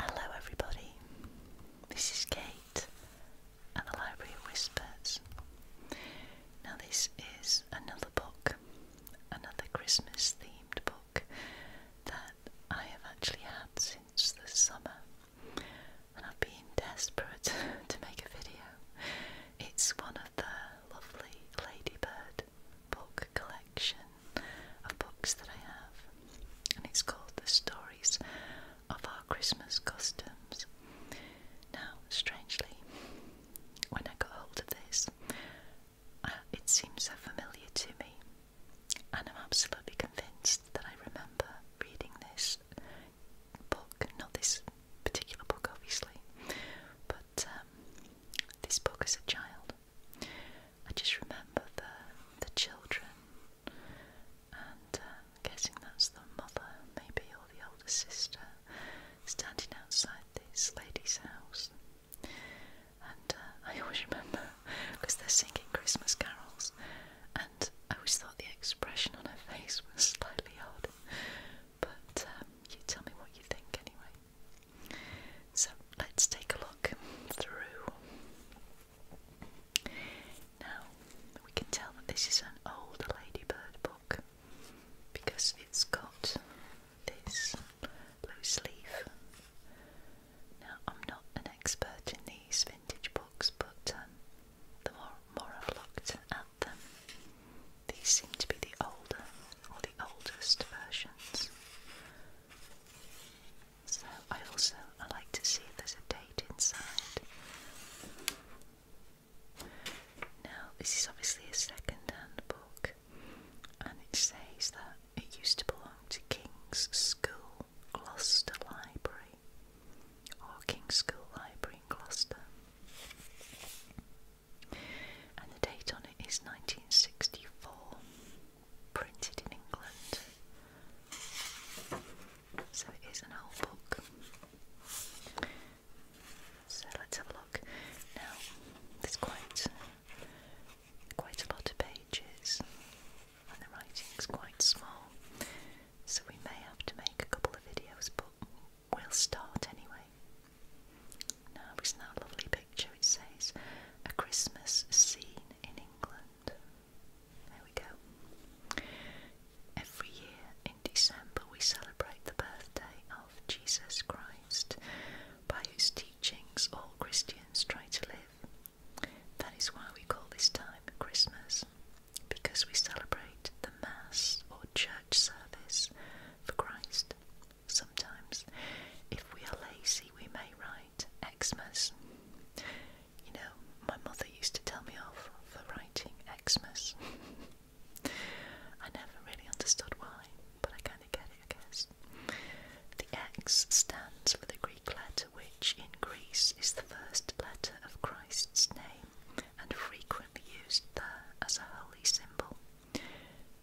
Hello, everybody. This is Kate and the Library of Whispers. Now, this is another book, another Christmas themed book that I have actually had since the summer, and I've been desperate to make a video. It's one of the lovely Ladybird book collection of books that I have, and it's called The Stories of Our Christmas Customs. Now, strangely, when I got hold of this, uh, it seems so familiar to me, and I'm absolutely convinced that I remember reading this book, not this particular book, obviously, but um, this book as a child. I just remember the the children, and uh, I'm guessing that's the mother, maybe, or the older sister, standing outside this lady's house. And uh, I always remember because they're singing Christmas carols, and I always thought the expression on her face was slightly odd. But um, you tell me what you think anyway. So let's take a look through. Now we can tell that this is an old ladybird book because it's got this loose leaf. Now I'm not an expert in these vintage books, but um, the more more I've looked at them, these seem to be the older or the oldest versions. So I also like to see if there's a date inside. Now this is obviously a second-hand book, and it says that it used to belong to King's School, Gloucester Library, or King's School Library in Gloucester and the date on it is 1964, printed in England. So it is an old book. So let's have a look. Now, there's quite quite a lot of pages, and the writing is quite small. So we may have to make a couple of videos, but we'll start anyway. Now, isn't that a lovely picture? It says, A Christmas Scene in England. There we go. Every year in December, we celebrate the birthday of Jesus Christ, by whose teachings all Christians try to live. That is why we call this time Christmas, because we celebrate the Mass or church service for Christ sometimes. If we are lazy, we may write Xmas. You know, my mother used to tell me off for writing Xmas. I never really understood why, but I kind of get it, I guess. The X stands for the Greek letter which in Greece is the first letter of Christ's name and frequently used there as a holy symbol.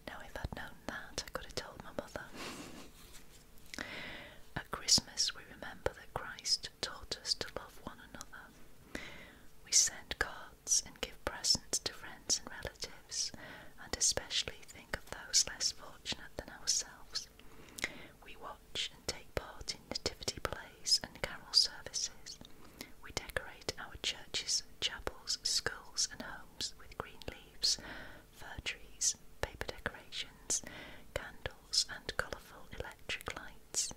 Now, if I'd known that, I could have told my mother. At Christmas, we remember that Christ taught us to love one another. We send cards and give presents to friends and relatives, and especially think of those less fortunate than ourselves. We watch and take part in nativity plays and carol services. We decorate our churches, chapels, schools, and homes with green leaves, fir trees, paper decorations, candles, and colourful electric lights.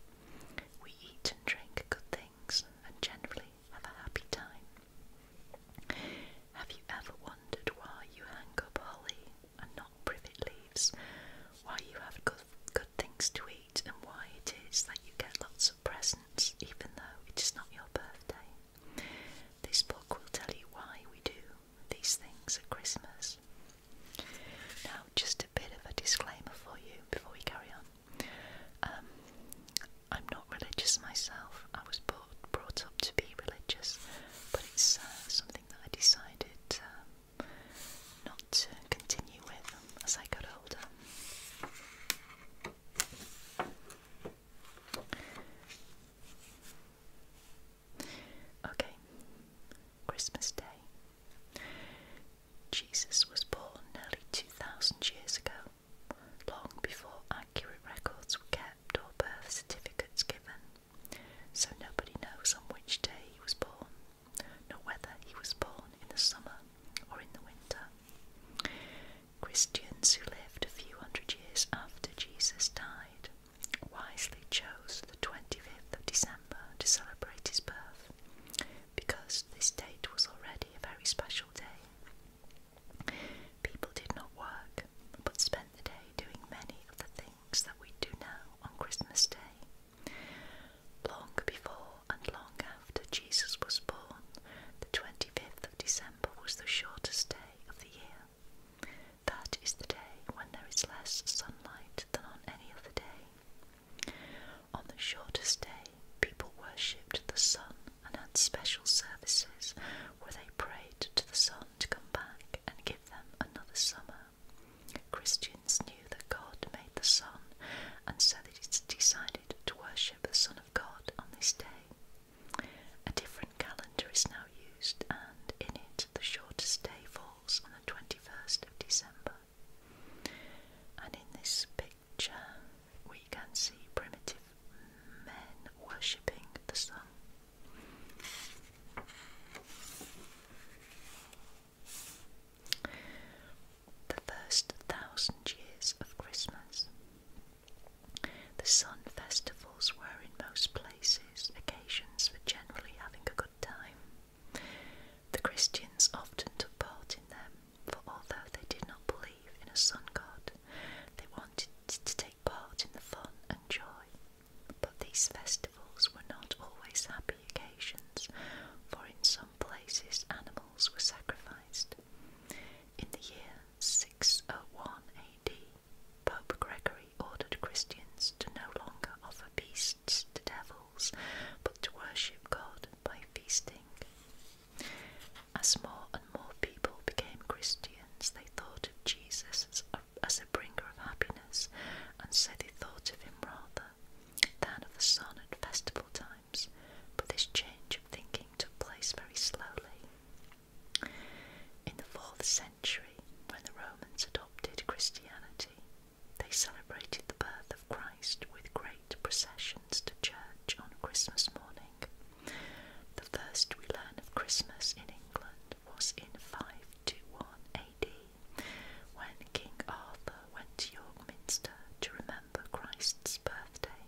We eat and drink good things and generally have a happy time. Have you ever wondered why you hang up holly and not privet leaves? Why you have good, good things to eat and why it is that you get lots of presents even though it is not your birthday? This book will tell you why we do these things at Christmas. Now, just a bit of a disclaimer for you before we carry on. Um, I'm not religious myself. I was brought, brought up to be religious, but it's uh, something that I decided not to continue with as I got older. Okay, Christmas Day. Jesus was born nearly 2,000 years ago, long before accurate records were kept or birth certificates given, so nobody knows on which day he was born, nor whether he was born in the summer or in the winter. Christians who lived a few hundred years after Jesus died wisely chose the 25th of December to celebrate his birth because this date was already a very special day. People did not work but spent the day doing many of the things that we do now on Christmas Day. Long before and long after Jesus was born, the 25th of December was the shortest day of the year. That is the day when there is less sunlight than on any other day. On the shortest day, people worshipped the sun and had special services where they prayed to the sun to come back and give them another summer. Christians knew that God made the sun, and so they decided to worship the Son of God on this day. A different calendar is now used, and in it the shortest day falls on the 21st of December. And in this picture, we can see primitive men worshipping the sun. The first thousand years of Christmas. The sun festivals were in most places occasions for generally having a good time. The Christians often took part in them, for although they did not believe in a sun god, they wanted to take part in the fun and joy. But these festivals were not always happy occasions, for in some places animals were sacrificed, in the year 601 AD, Pope Gregory ordered Christians to no longer offer beasts to devils, but to worship God by feasting. As more and more people became Christians, they thought of Jesus as a, as a bringer of happiness, and so they thought of him rather than of the sun at festival times. But this change of thinking took place very slowly. In the 4th century, when the Romans adopted Christianity, they celebrated the birth of Christ with great processions to church on Christmas morning. The first we learn of Christmas in England was in five to one AD, when King Arthur went to York Minster to remember Christ's birthday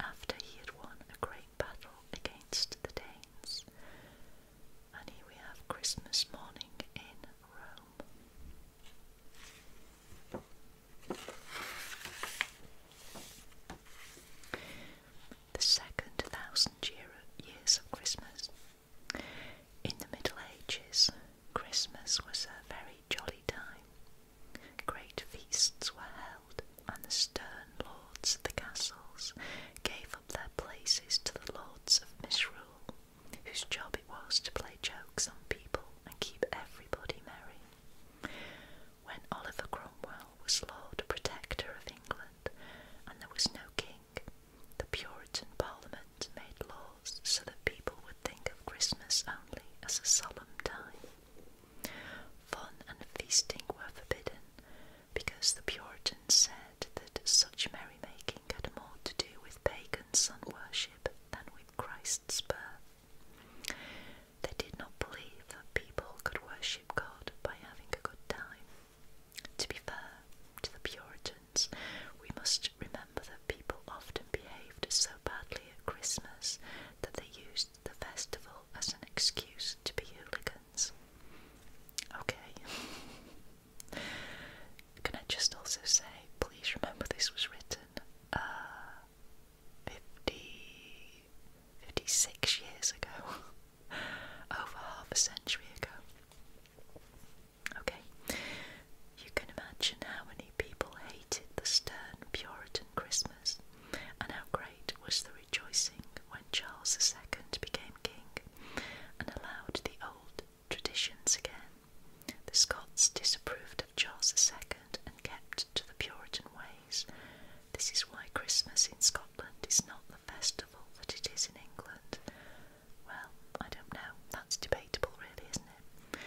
after he had won a great battle against the Danes. And here we have Christmas morning in Rome. The second thousand years of Christmas. In the Middle Ages, Christmas was a very jolly time. Great feasts were held, and the stern lords of the castles gave up their places to the lords of misrule, whose job it was to play jokes on people and keep everybody merry. When Oliver Cromwell was Lord Protector of England and there was no king, the Puritan Parliament made laws so that people would think of Christmas only as a solemn time. Fun and feasting were forbidden because the Puritans said that such merrymaking had more to do with pagan sun worship than with Christ's birth. They did not believe that people could worship God by having a good time. To be fair to the Puritans, we must remember that people often behaved so badly at Christmas that they used the festival as an excuse to be hooligans. Okay. Can I just also say, please remember this was written uh, years ago, over half a century ago. Okay. You can imagine how many people hated the stern Puritan Christmas, and how great was the rejoicing when Charles II became king and allowed the old traditions again. The Scots disapproved of Charles II and kept to the Puritan ways. This is why Christmas in Scotland is not the festival that it is in England. Well, I don't know, that's debatable, really, isn't it?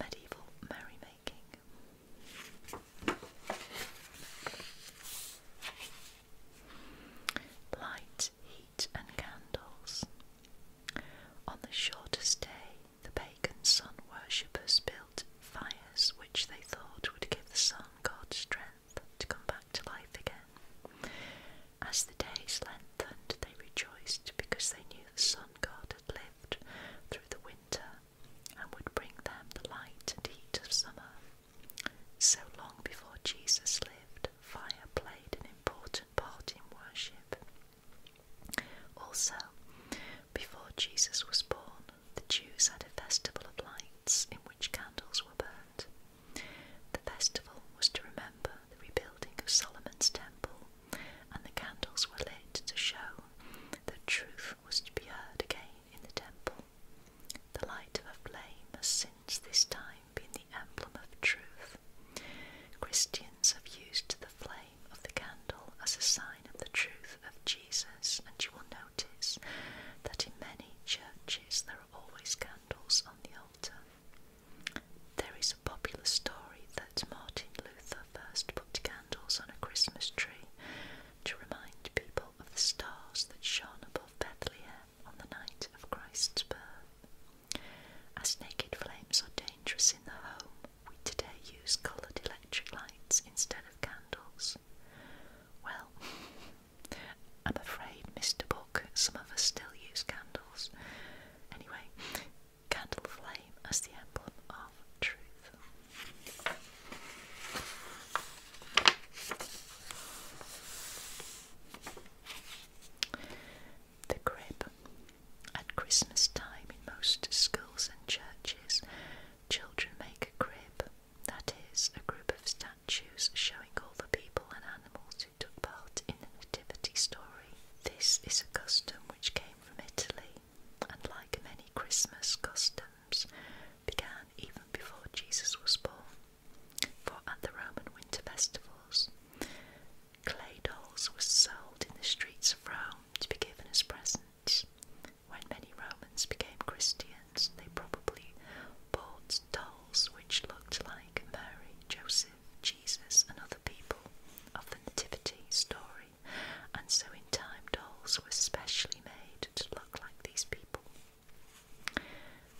Medieval merrymaking. Light, heat, and candles. On the shortest day, the pagan sun worshippers built fires which they thought would give the sun god strength to come back to life again. As the days lengthened, they rejoiced because they knew the sun god had lived through the winter and would bring them the light and heat of summer. So long before Jesus lived, fire played an important part in worship. Also, before Jesus was born, the Jews had a festival of lights in which candles were burnt. The festival was to remember the rebuilding of Solomon's temple, and the candles were lit to show that truth was to be heard again in the temple. The light of a flame has since this time been the emblem of truth. Christians have used the flame of the candle as a sign of the truth of Jesus, and you will notice that in many churches there are always candles on the altar. There is a popular story that Martin Luther first put candles on a Christmas tree to remind people of the stars that shone above Bethlehem on the night of Christ's birth. As naked flames are dangerous in the home, we today use coloured electric lights instead of candles. Well, I'm afraid, Mr. Book, some of us still use candles. Anyway, candle flame as the emblem of truth. The crib. At Christmas time, in most schools and churches, children make a crib, that is, a group of statues showing all the people and animals who took part in the nativity story. This is a custom which came from Italy, and like many Christmas customs, began even before Jesus was born, for at the Roman winter festivals, clay dolls were sold in the streets of Rome to be given as presents. When many Romans became Christians, they probably bought dolls which looked like Mary, Joseph, Jesus, and other people of the Nativity story, and so in time dolls were specially made to look like these people.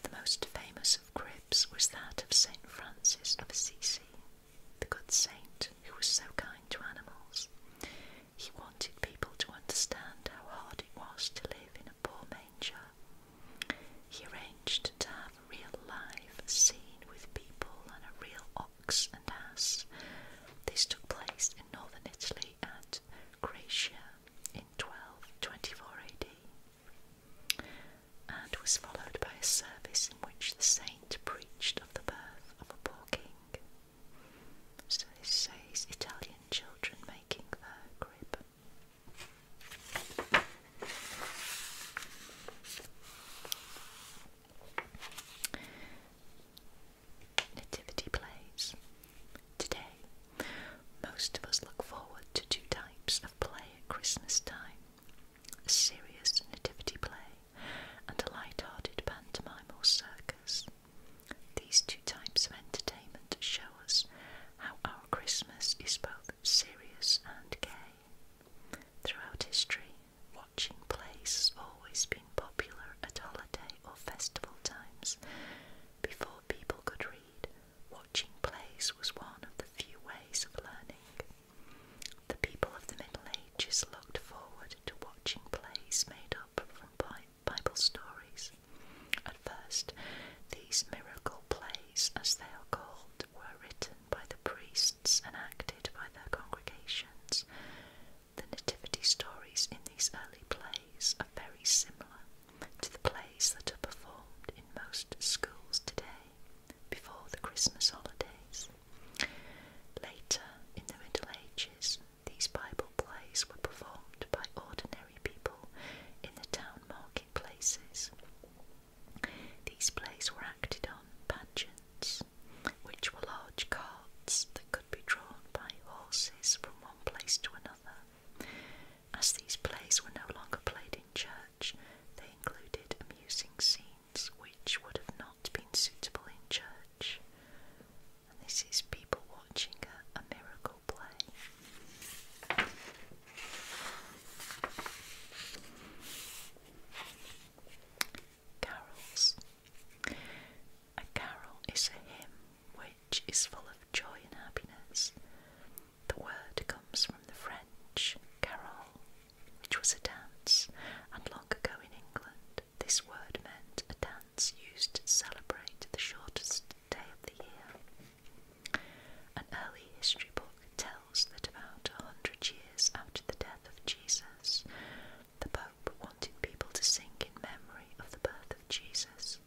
The most famous of cribs was that of St. Francis of Assisi, the good saint who was so kind to animals. He wanted people to understand how hard it was to live in a poor manger. He arranged to have a real live scene with people and a real ox and ass. This took place in northern Italy at conquered in 1224 AD and was followed by a service in which the saint preached of the birth of a poor king. So this says Italian children making their crib nativity plays. Today, most of us look forward to two types of play at Christmas time a serious nativity play and a light hearted pantomime or circus. These two types of entertainment show us how our Christmas is both serious and gay. Throughout history, watching plays has always been popular at holiday or festival times, before people could read, watching plays was one of the few ways of learning. The people of the Middle Ages looked forward to watching plays made up from Bible stories. At first, these miracle plays, as they are called, were written by the priests and acted by their congregations, the nativity stories in these early plays are very similar to the plays that are performed in most schools today before the Christmas holidays. Later in the Middle Ages, these Bible plays were performed by ordinary people in the town marketplaces. These plays were acted on pageants, which were large carts that could be drawn by horses from one place to another. As these plays were no longer played in church, they included amusing scenes which would have not been suitable in church. And this is people watching a, a miracle play. Carols. A carol is a hymn which is full of joy and happiness. The word comes from the French carol, which was a dance, and long ago in England, this word meant a dance used to celebrate the shortest day of the year. An early history book tells that about a hundred years after the death of Jesus, the Pope wanted people to sing in memory of the birth of Jesus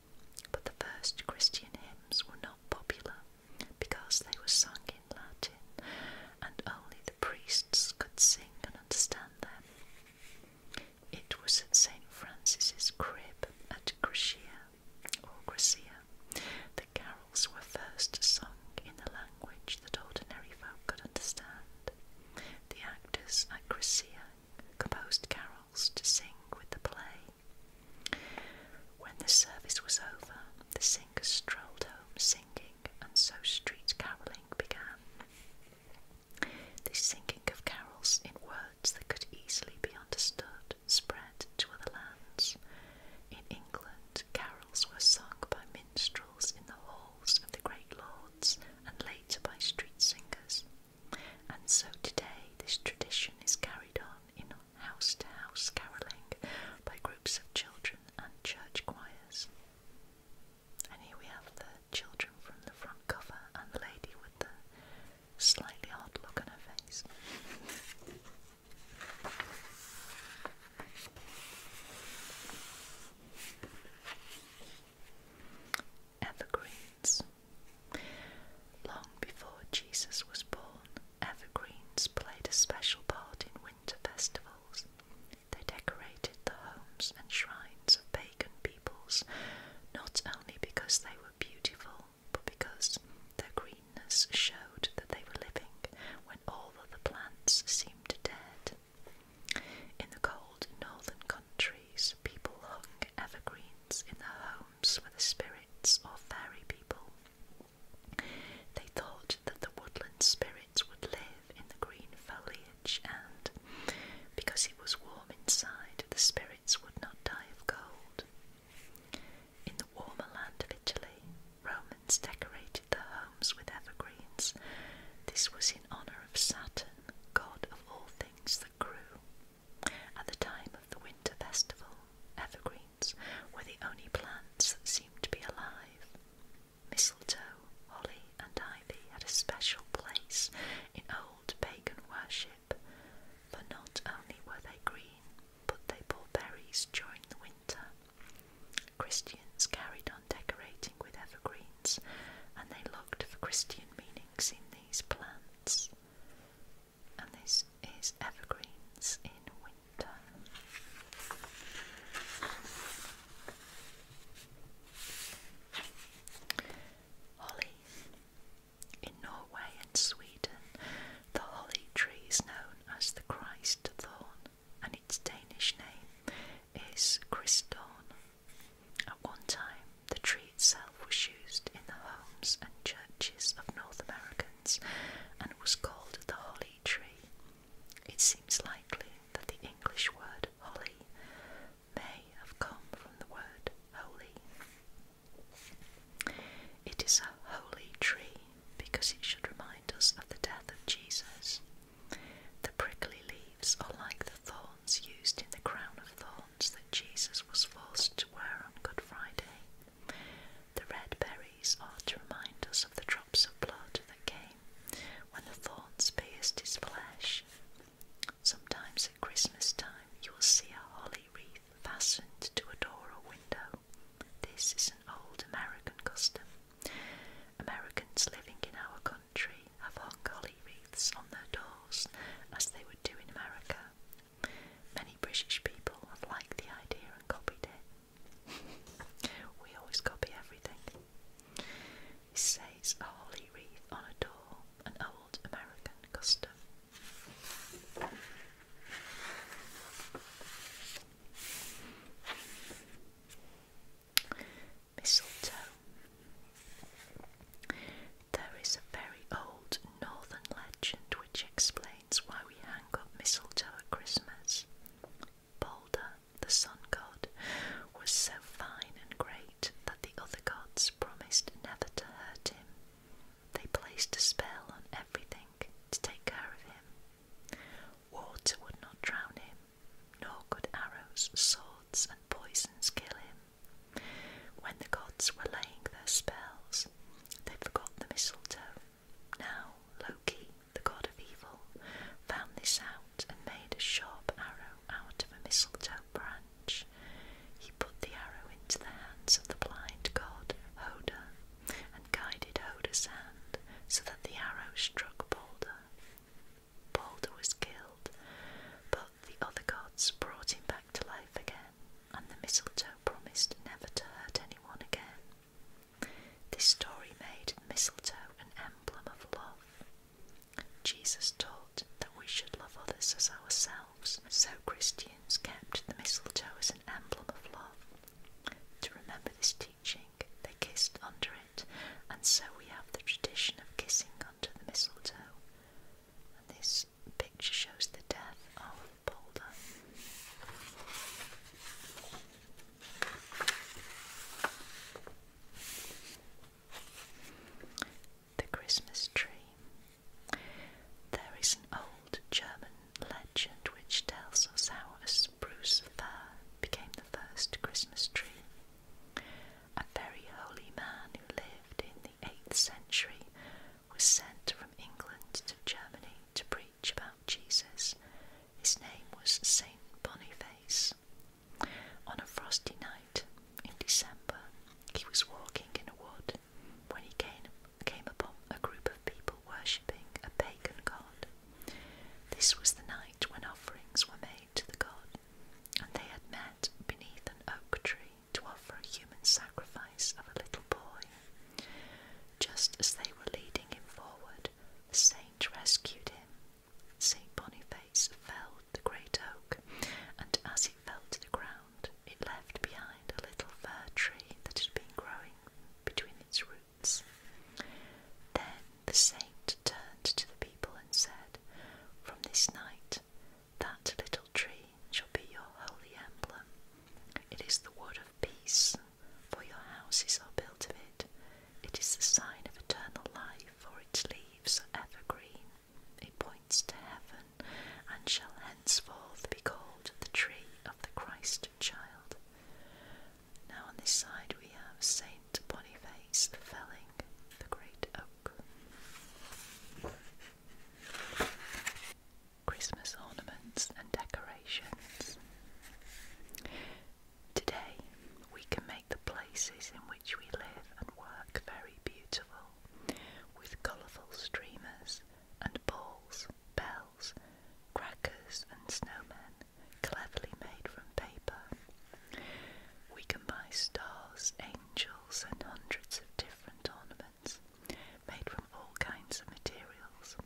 but the first Christian hymns were not popular because they were sung in Latin and only the priests could sing and understand them. It was at St. Francis's crib at Gracia, or Gracia, the carols were first sung in the language that ordinary folk could understand. The actors at Gracia composed carols to sing with the play. When the service was over, the singers strolled home singing, and so street carolling began. The singing of carols in words that could easily be understood spread to other lands. In England, carols were sung by minstrels in the halls of the great lords and later by street singers. And so today, this tradition is carried on in house to house carolling by groups of children and church choirs. And here we have the children from the front cover and the lady with the slightly odd look on her face evergreens. Long before Jesus was born, evergreens played a special part in winter festivals. They decorated the homes and shrines of pagan peoples, not only because they were beautiful, but because their greenness showed that they were living when all other plants seemed dead. In the cold northern countries, people hung evergreens in their homes were the spirits or fairy people. They thought that the woodland spirits would live in the green foliage, and because it was warm inside, the spirits would not die of cold. In the warmer land of Italy, Romans decorated their homes with evergreens. This was in honour of Saturn, god of all things that grew. At the time of the winter festival, evergreens were the only plants that seemed to be alive. Mistletoe, holly, and ivy had a special place in old pagan worship, for not only were they green, but they bore berries during the winter. Christians carried on decorating with evergreens, and they looked for Christian meanings in them these plants, and this is evergreens in winter. Holly. In Norway and Sweden, the holly tree is known as the Christ thorn, and its Danish name is Christorn. At one time, the tree itself was used in the homes and churches of North Americans and was called the holly tree. It seems likely that the English word holly may have come from the word holy. It is a holy tree because it should remind us of the death of Jesus. The prickly leaves are like the thorn used in the crown of thorns that Jesus was forced to wear on Good Friday. The red berries are to remind us of the drops of blood that came when the thorns pierced his flesh. Sometimes at Christmas time, you will see a holly wreath fastened to a door or window. This is an old American custom. Americans living in our country have hung holly wreaths on their doors as they would do in America. Many British people liked the idea and copied it. we always copy everything. It says a holly wreath on a door, an old American custom. Mistletoe there is a very old northern legend which explains why we hang up mistletoe at Christmas. Balder, the sun god, was so fine and great that the other gods promised never to hurt him. They placed a spell on everything to take care of him. Water would not drown him, nor could arrows, swords, and poisons kill him. When the gods were laying their spells, they forgot the mistletoe. Now Loki, the god of evil, found this out and made a sharp arrow out of a mistletoe branch. He put the arrow into the hands of the blind god Hoda and guided Hoda's hand so that the arrow struck Balder. Balder was killed, but the other gods brought him back to life again, and the mistletoe promised never to hurt anyone again. This story made mistletoe an emblem of love. Jesus taught that we should love others as ourselves, so Christians kept the mistletoe as an emblem of love. To remember this teaching, they kissed under it, and so we have the tradition of kissing under the mistletoe. And this picture shows the death of Bolder. The Christmas Tree. There is an old German legend which tells us how a spruce fir became the first Christmas tree a very holy man who lived in the 8th century, was sent from England to Germany to preach about Jesus. His name was Saint Boniface. On a frosty night in December, he was walking in a wood when he came, came upon a group of people worshipping a pagan god. This was the night when offerings were made to the god, and they had met beneath an oak tree to offer a human sacrifice of a little boy. Just as they were leading him forward, the saint rescued him. St. Boniface felled the great oak, and as it fell to the ground, it left behind a little fir tree that had been growing between its roots. Then the saint turned to the people and said, From this night, that little tree shall be your holy emblem. It is the wood of peace, for your houses are built of it. It is the sign of eternal life, for its leaves are evergreen. It points to heaven and shall henceforth be called the tree of the Christ child. Now on this side we have Saint Boniface Felling, the great oak. Christmas ornaments and decorations. Today, we can make the places in which we live and work very beautiful with colourful streamers and balls, bells, crackers, and snowmen cleverly made from paper. We can buy stars, angels, and hundreds of different ornaments made from all kinds of materials.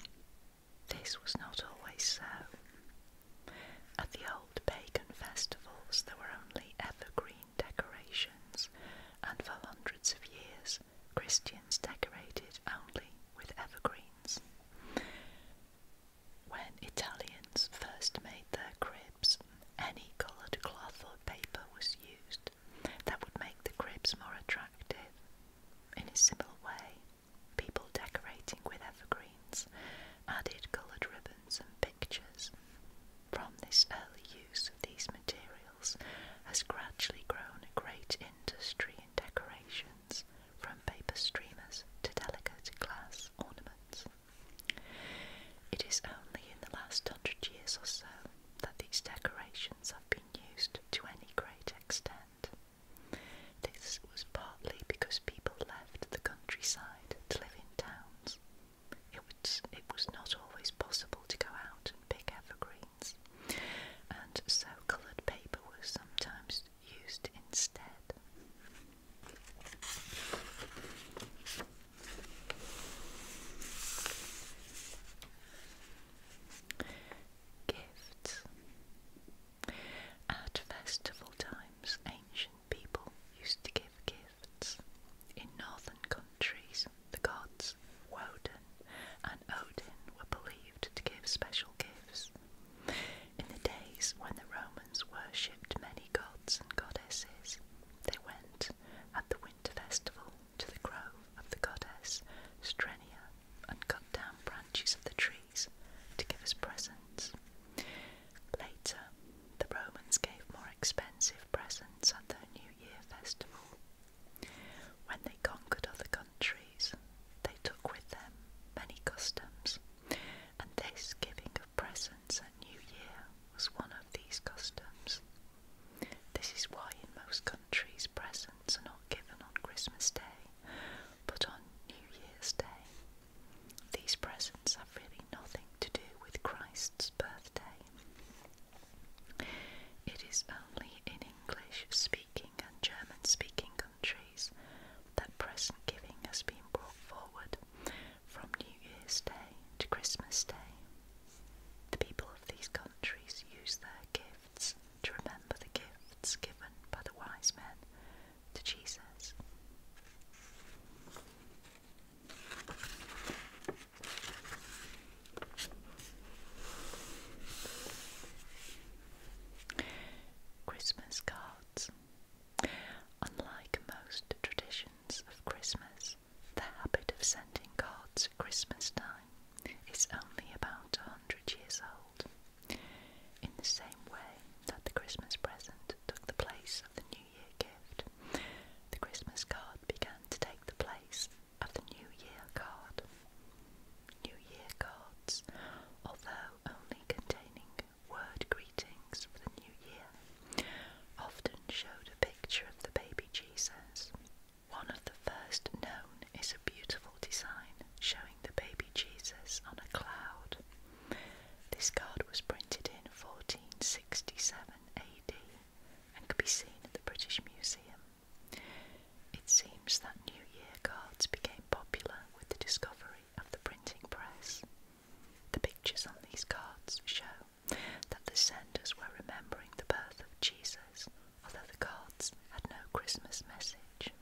This was not always so. At the old pagan festivals, there were only evergreen decorations, and for hundreds of years, Christians decorated only with evergreens. When Italians first made their cribs, any coloured cloth or paper was used that would make the cribs more attractive. In a similar way, people decorating with evergreens added coloured ribbons and pictures. From this early use of these materials has gradually grown a great industry in decorations, from paper streamers to delicate glass ornaments. It is only in the last hundred years or so that these decorations have been used to any great extent. This was partly because people left the countryside to live in towns. It was, it was not always possible to go out and pick evergreens, and so coloured paper was sometimes used instead. Gifts. At festival times, ancient people used to give gifts. In northern countries, the gods Woden and Odin were believed to give special gifts. In the days when the Romans worshipped many gods and goddesses, they went at the winter festival to the grove of the goddess Strenia and cut down branches of the trees to give us presents. Later, the Romans gave more expensive presents at their New Year festival. When they conquered other countries, they took with them many customs, and this giving of presents at New Year was one of these customs. This is why in most countries presents are not given on Christmas Day, but on New Year's Day. These presents have really nothing to do with Christ's birthday. It is only in English speaking and German speaking countries that present giving has been brought forward from New Year's Day to Christmas Day. The people of these countries use their gifts to remember the gifts given by the wise men to Jesus. Christmas cards. Unlike most traditions of Christmas, the habit of sending cards at Christmas time is only about a hundred years old, in the same way that the Christmas present took the place of the New Year gift. The Christmas card began to take the place of the New Year card. New Year cards, although only containing word greetings for the New Year, often showed a picture of the baby Jesus. One of the first known is a beautiful design showing the baby Jesus on a cloud. This card was printed in 1467 AD and could be seen at the British Museum. It seems that New Year cards became popular with the discovery of the printing press. The pictures on these cards show that the senders were remembering the birth of Jesus, although the cards had no Christmas message.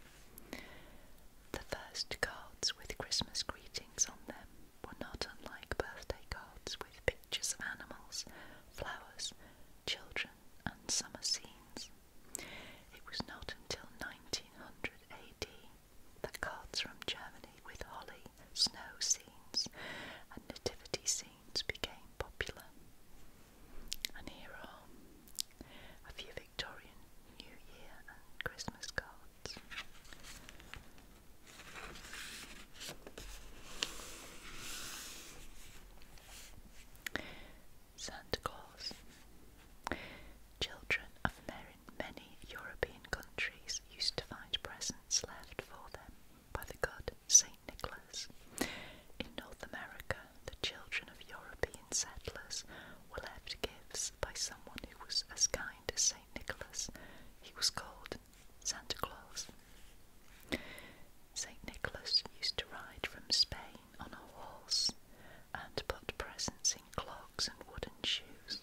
The first cards with Christmas greetings on them were not unlike birthday cards with pictures of animals, flowers, children, and summer scenes. It was not until 1900 AD that cards from Germany with holly, snow scenes, and nativity scenes became popular. And here are a few Victorian New Year and Christmas cards. Santa Claus. Children of many European countries used to find presents left for them by the god St. Nicholas. In North America, the children of European settlers were left gifts by someone who was as kind as St. Nicholas. He was called Santa Claus. St. Nicholas used to ride from Spain on a horse and put presents in clogs and wooden shoes.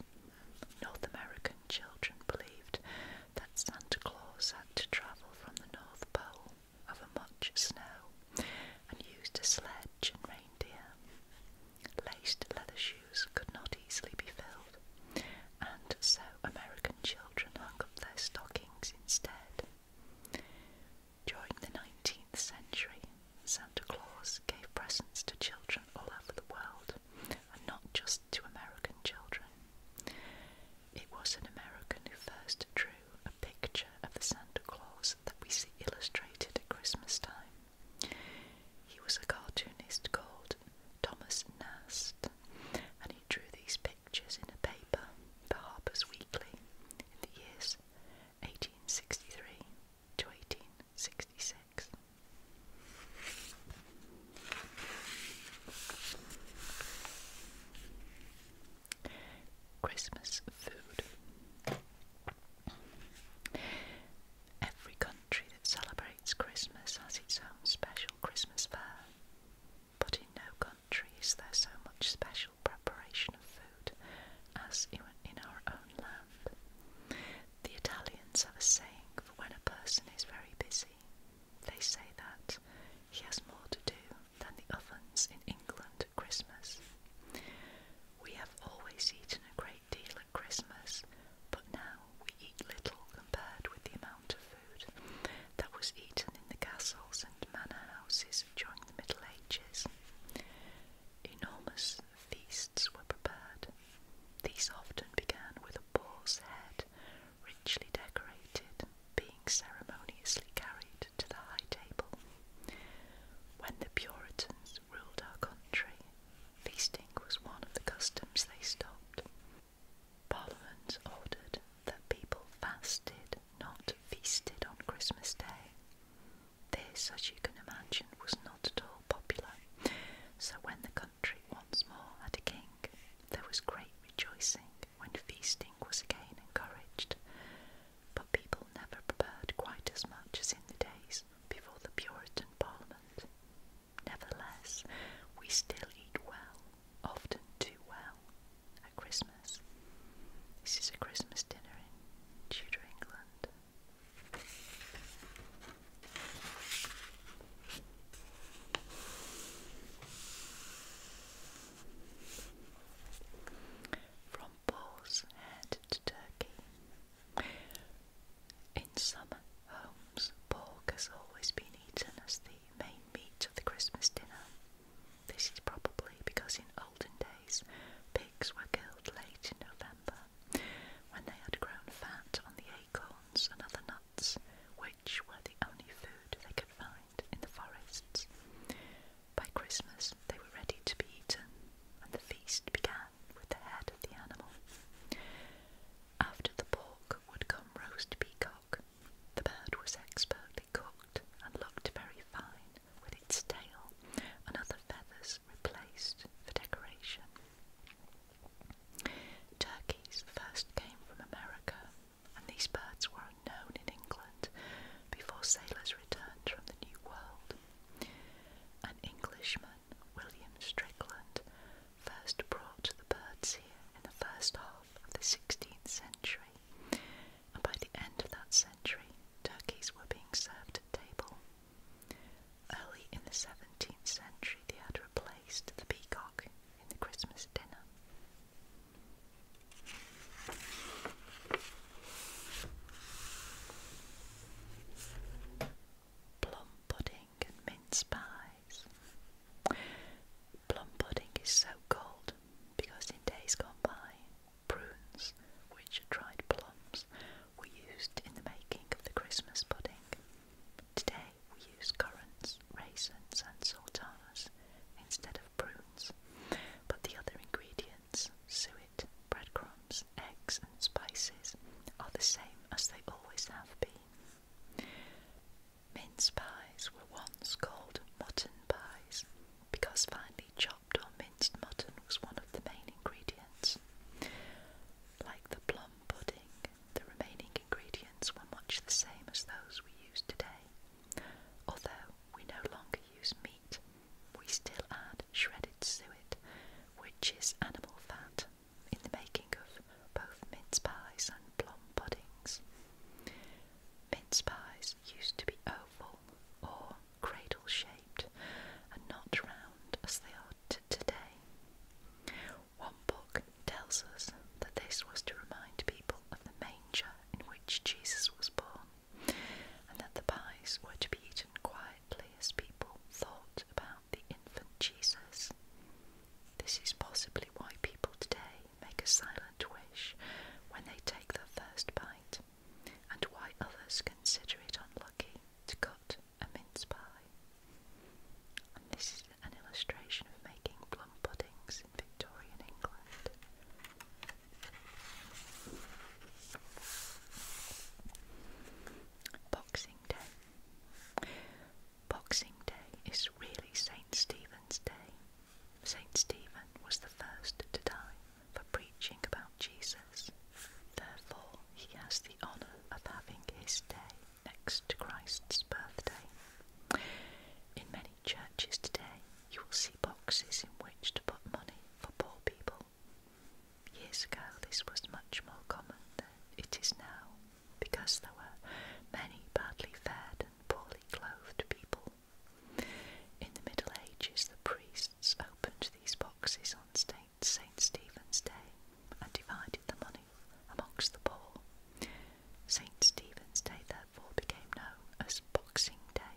North American children believed that Santa Claus had to travel from the North Pole over much snow and used a sledge and reindeer. Laced leather shoes could not easily be filled, and so American children hung up their stockings instead. During the 19th century, Santa Claus gave presents to children all over the world and not just to American children. It was an American who first drew a picture of the Santa Claus that we see illustrated at Christmas time. He was a cartoonist called Thomas Nast, and he drew these pictures in a paper The Harper's Weekly in the years 1863 to 1866. Christmas food. Every country that celebrates Christmas has its own special Christmas fare, but in no country is there so much special preparation of food as in our own land. The Italians have a saying for when a person is very busy they say that he has more to do than the ovens in England at Christmas. We have always eaten a great deal at Christmas, but now we eat little compared with the amount of food that was eaten in the castles and manor houses during the Middle Ages. Enormous feasts were prepared. These often began with a boar's head richly decorated, being ceremoniously carried to the high table. When the Puritans ruled our country, feasting was one of the customs they stopped. Parliament ordered that people fasted, not feasted on Christmas Day. This, as you can imagine, was not at all popular, so when the country once more had a king, there was great rejoicing when feasting was again encouraged, but people never prepared quite as much as in the days before the Puritan Parliament. Nevertheless, we still eat well, often too well, at Christmas. This is a Christmas dinner in Tudor England. From Paul's to Turkey. In summer homes, pork has always been eaten as the main meat of the Christmas dinner. This is probably because in olden days pigs were killed late in November when they had grown fat on the acorns and other nuts which were the only food they could find in the forests. By Christmas, they were ready to be eaten, and the feast began with the head of the animal. After the pork would come roast peacock. The bird was expertly cooked and looked very fine, with its tail and other feathers replaced for decoration. Turkeys first came from America, and these birds were unknown in England before sailors returned from the New World. An Englishman, William Strickland, first brought the birds here in the first half of the 16th century, and by the end of that century, turkeys were being served at table. Early in the 17th century, they had replaced the peacock in the Christmas dinner. Plum pudding and mince pies. Plum pudding is so called because in days gone by, prunes, which dried plums, were used in the making of the Christmas pudding. Today, we use currants, raisins, and sultanas instead of prunes, but the other ingredients, suet, breadcrumbs, eggs, and spices, are the same as they always have been. Mince pies were once called mutton pies because finely chopped or minced mutton was one of the main ingredients. Like the plum pudding the remaining ingredients were much the same as those we use today. Although we no longer use meat, we still add shredded suet, which is animal fat, in the making of both mince pies and plum puddings. Mince pies used to be oval or cradle shaped and not round as they are today. One book tells us that this was to remind people of the manger in which Jesus was born, and that the pies were to be eaten quietly as people thought about the infant Jesus. This is possibly why people today make a silent wish when they take their first bite, and why others consider it unlucky to cut a mince pie an illustration of making plum puddings in Victorian England. Boxing Day. Boxing Day is really St. Stephen's Day. St. Stephen was the first to die for preaching about Jesus. Therefore, he has the honour of having his day next to Christ's birthday. In many churches today, you will see boxes in which to put money for poor people. Years ago, this was much more common than it is now because there were many badly fed and poorly clothed people. In the Middle Ages, the priests opened these boxes on St. Stephen's Day and divided the money amongst the poor. St. Stephen's Day, therefore, became known as Boxing Day.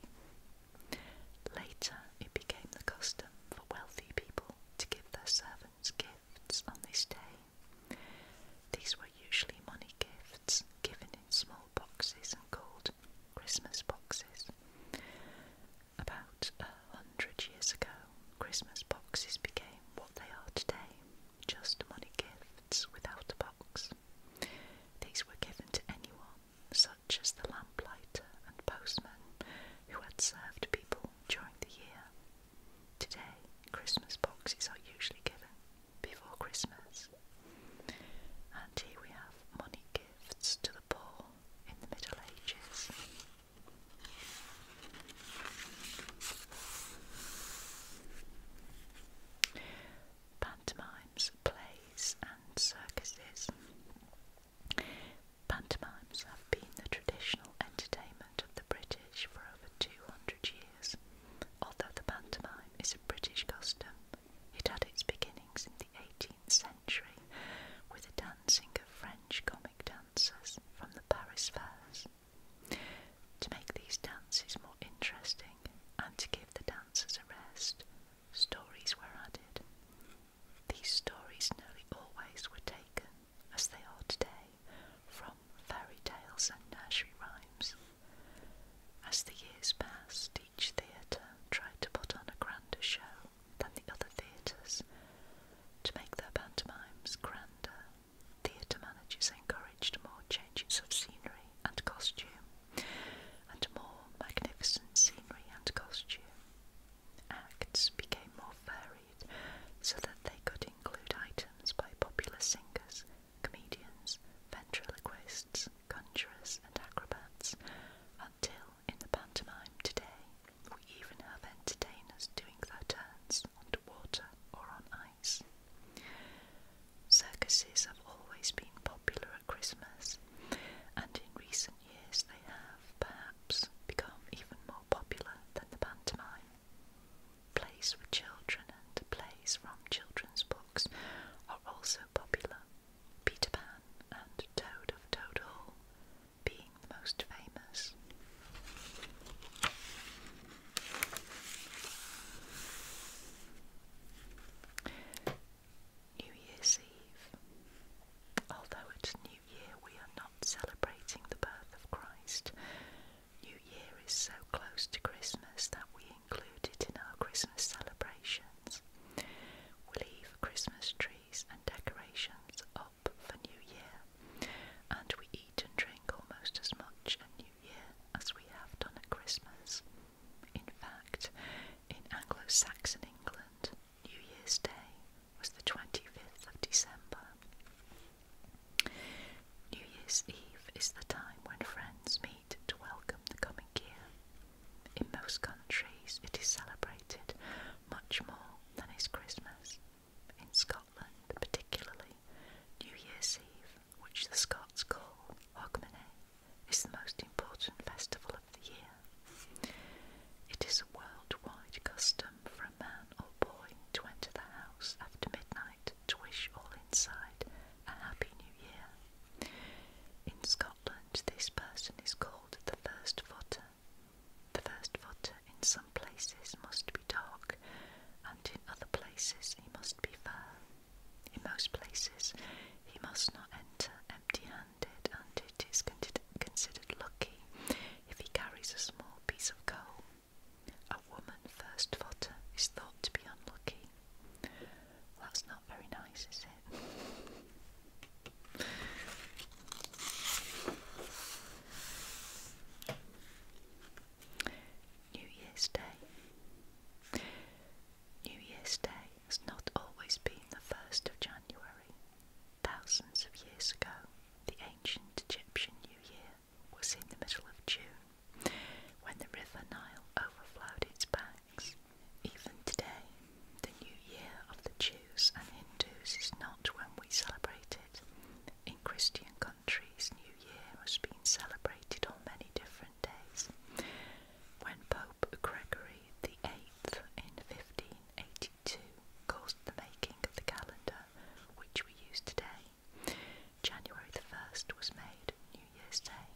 Later, it became the custom for wealthy people to give their servants gifts on this day. These were usually money gifts given in small boxes and called Christmas boxes. About a hundred years ago, Christmas boxes became what they are today just money gifts without a box. These were given to anyone, such as the lamplighter and postman who had served people during the year. Today, Christmas boxes are usually given before Christmas. And here we have money gifts to the poor in the Middle Ages. Pantomimes, plays, and circuses. Pantomimes have been the traditional entertainment of the British for over 200 years. Although the pantomime is a British custom, it had its beginnings in the 18th century with the dancing of French comic dancers from the Paris fairs. To make these dances more interesting and to give the dancers a rest, stories were added. These stories nearly always were taken, as they are today, from fairy tales and nursery rhymes. As the years passed, each theatre tried to put on a grander show than the other theatres to make their pantomimes grander Theatre managers encouraged more changes of scenery and costume, and more magnificent scenery and costume. Acts became more varied so that they could include items by popular singers, comedians, ventriloquists, conjurers, and acrobats, until in the pantomime today we even have entertainers doing their turns underwater or on Circuses have always been popular at Christmas, and in recent years they have perhaps become even more popular than the pantomime. Plays for children and plays from children's books are also popular, Peter Pan and Toad of Toad Hall being the most famous. New Year's Eve. Although it's New Year, we are not celebrating the birth of Christ. New Year is so close to Christmas that we include it in our Christmas celebrations. We leave Christmas trees and decorations up for New Year, and we eat and drink almost as much Year as we have done at Christmas. In fact, in Anglo Saxon England, New Year's Day was the 25th of December. New Year's Eve is the time when friends meet to welcome the coming year. In most countries, it is celebrated much more than is Christmas. In Scotland, particularly, New Year's Eve which the Scots call Hogmanay, is the most important festival of the year. It is a worldwide custom for a man or boy to enter the house after midnight to wish all inside a happy new year. In Scotland, this person is called the first footer. The first footer in some places must be dark and in other places he must be firm. In most places he must not enter empty handed, and it is considered lucky if he carries a small piece of coal. A woman first footer is thought to be unlucky. that's not very nice, is it? New Year's Day. New Year's Day has not always been the 1st of January. Thousands of years ago, the ancient Egyptian New Year was in the middle of June when the River Nile overflowed its banks. Even today, the New Year of the Jews and Hindus is not when we celebrate it. In Christian countries, New Year has been celebrated on many different days. When Pope Gregory VIII in 1582 caused the making of the calendar which we use today, January the 1st was made New Year's Day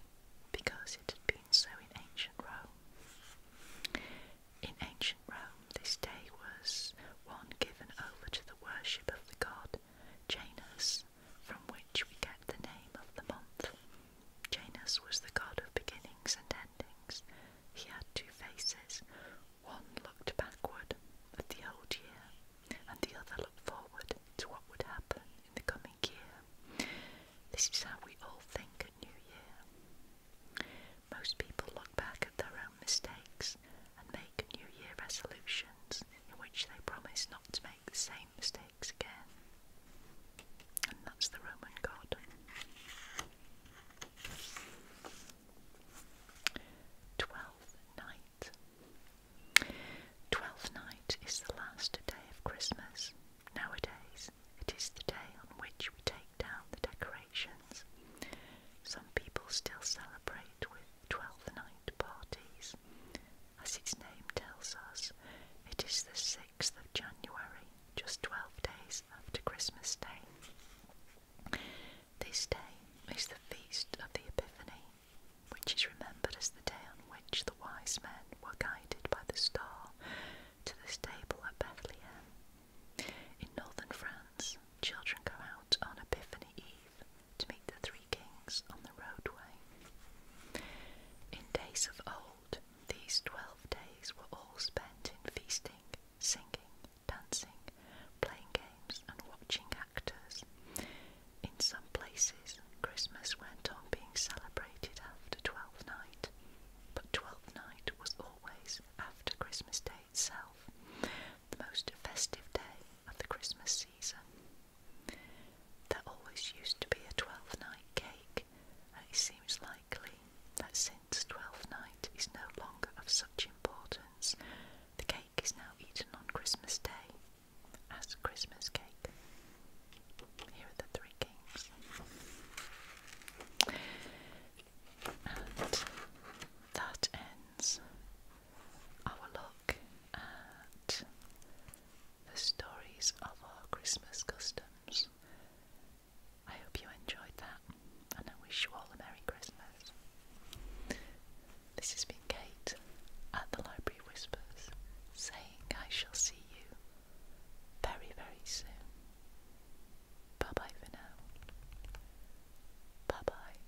because it had been so in ancient Rome. In ancient Rome, this day was one given over to the worship of the god Janus, from which we get the name of the month. Janus was the god of beginnings and endings. He had two faces. One looked backward at the old year, and the other looked forward to what would happen in the coming year. This is how we all think at New Year. Most people look back at their own mistakes and make New Year resolutions in which they promise not to make the same mistakes again. And that's the Roman God. 12th Night. Twelfth Night is the last day of Christmas. Nowadays, it is the day on which we take down the decorations. Some people still celebrate with Twelfth Night parties, as its name tells us, it is the 6th of January, just 12 days after Christmas Day. This day is the feast of the Epiphany, which is remembered as the day on which the wise men were guided by the star to the stable at Bethlehem. In northern France, children go out on Epiphany Eve to meet the three kings on the roadway. In days of old, these twelve days were all spent in feasting, singing, dancing, playing games, and watching actors. In some places, Christmas went on being celebrated after Twelfth Night, but Twelfth Night was always after Christmas Day itself, the most festive day of the Christmas season. There always used to be a Twelfth Night cake, and it seems likely that since Twelfth Night is no longer of such importance, the cake is now eaten on Christmas Day as Christmas cake. Here are the three kings. And that ends our look the stories of our Christmas customs. I hope you enjoyed that, and I wish you all a Merry Christmas. This has been Kate at the Library Whispers saying I shall see you very, very soon. Bye bye for now. Bye bye.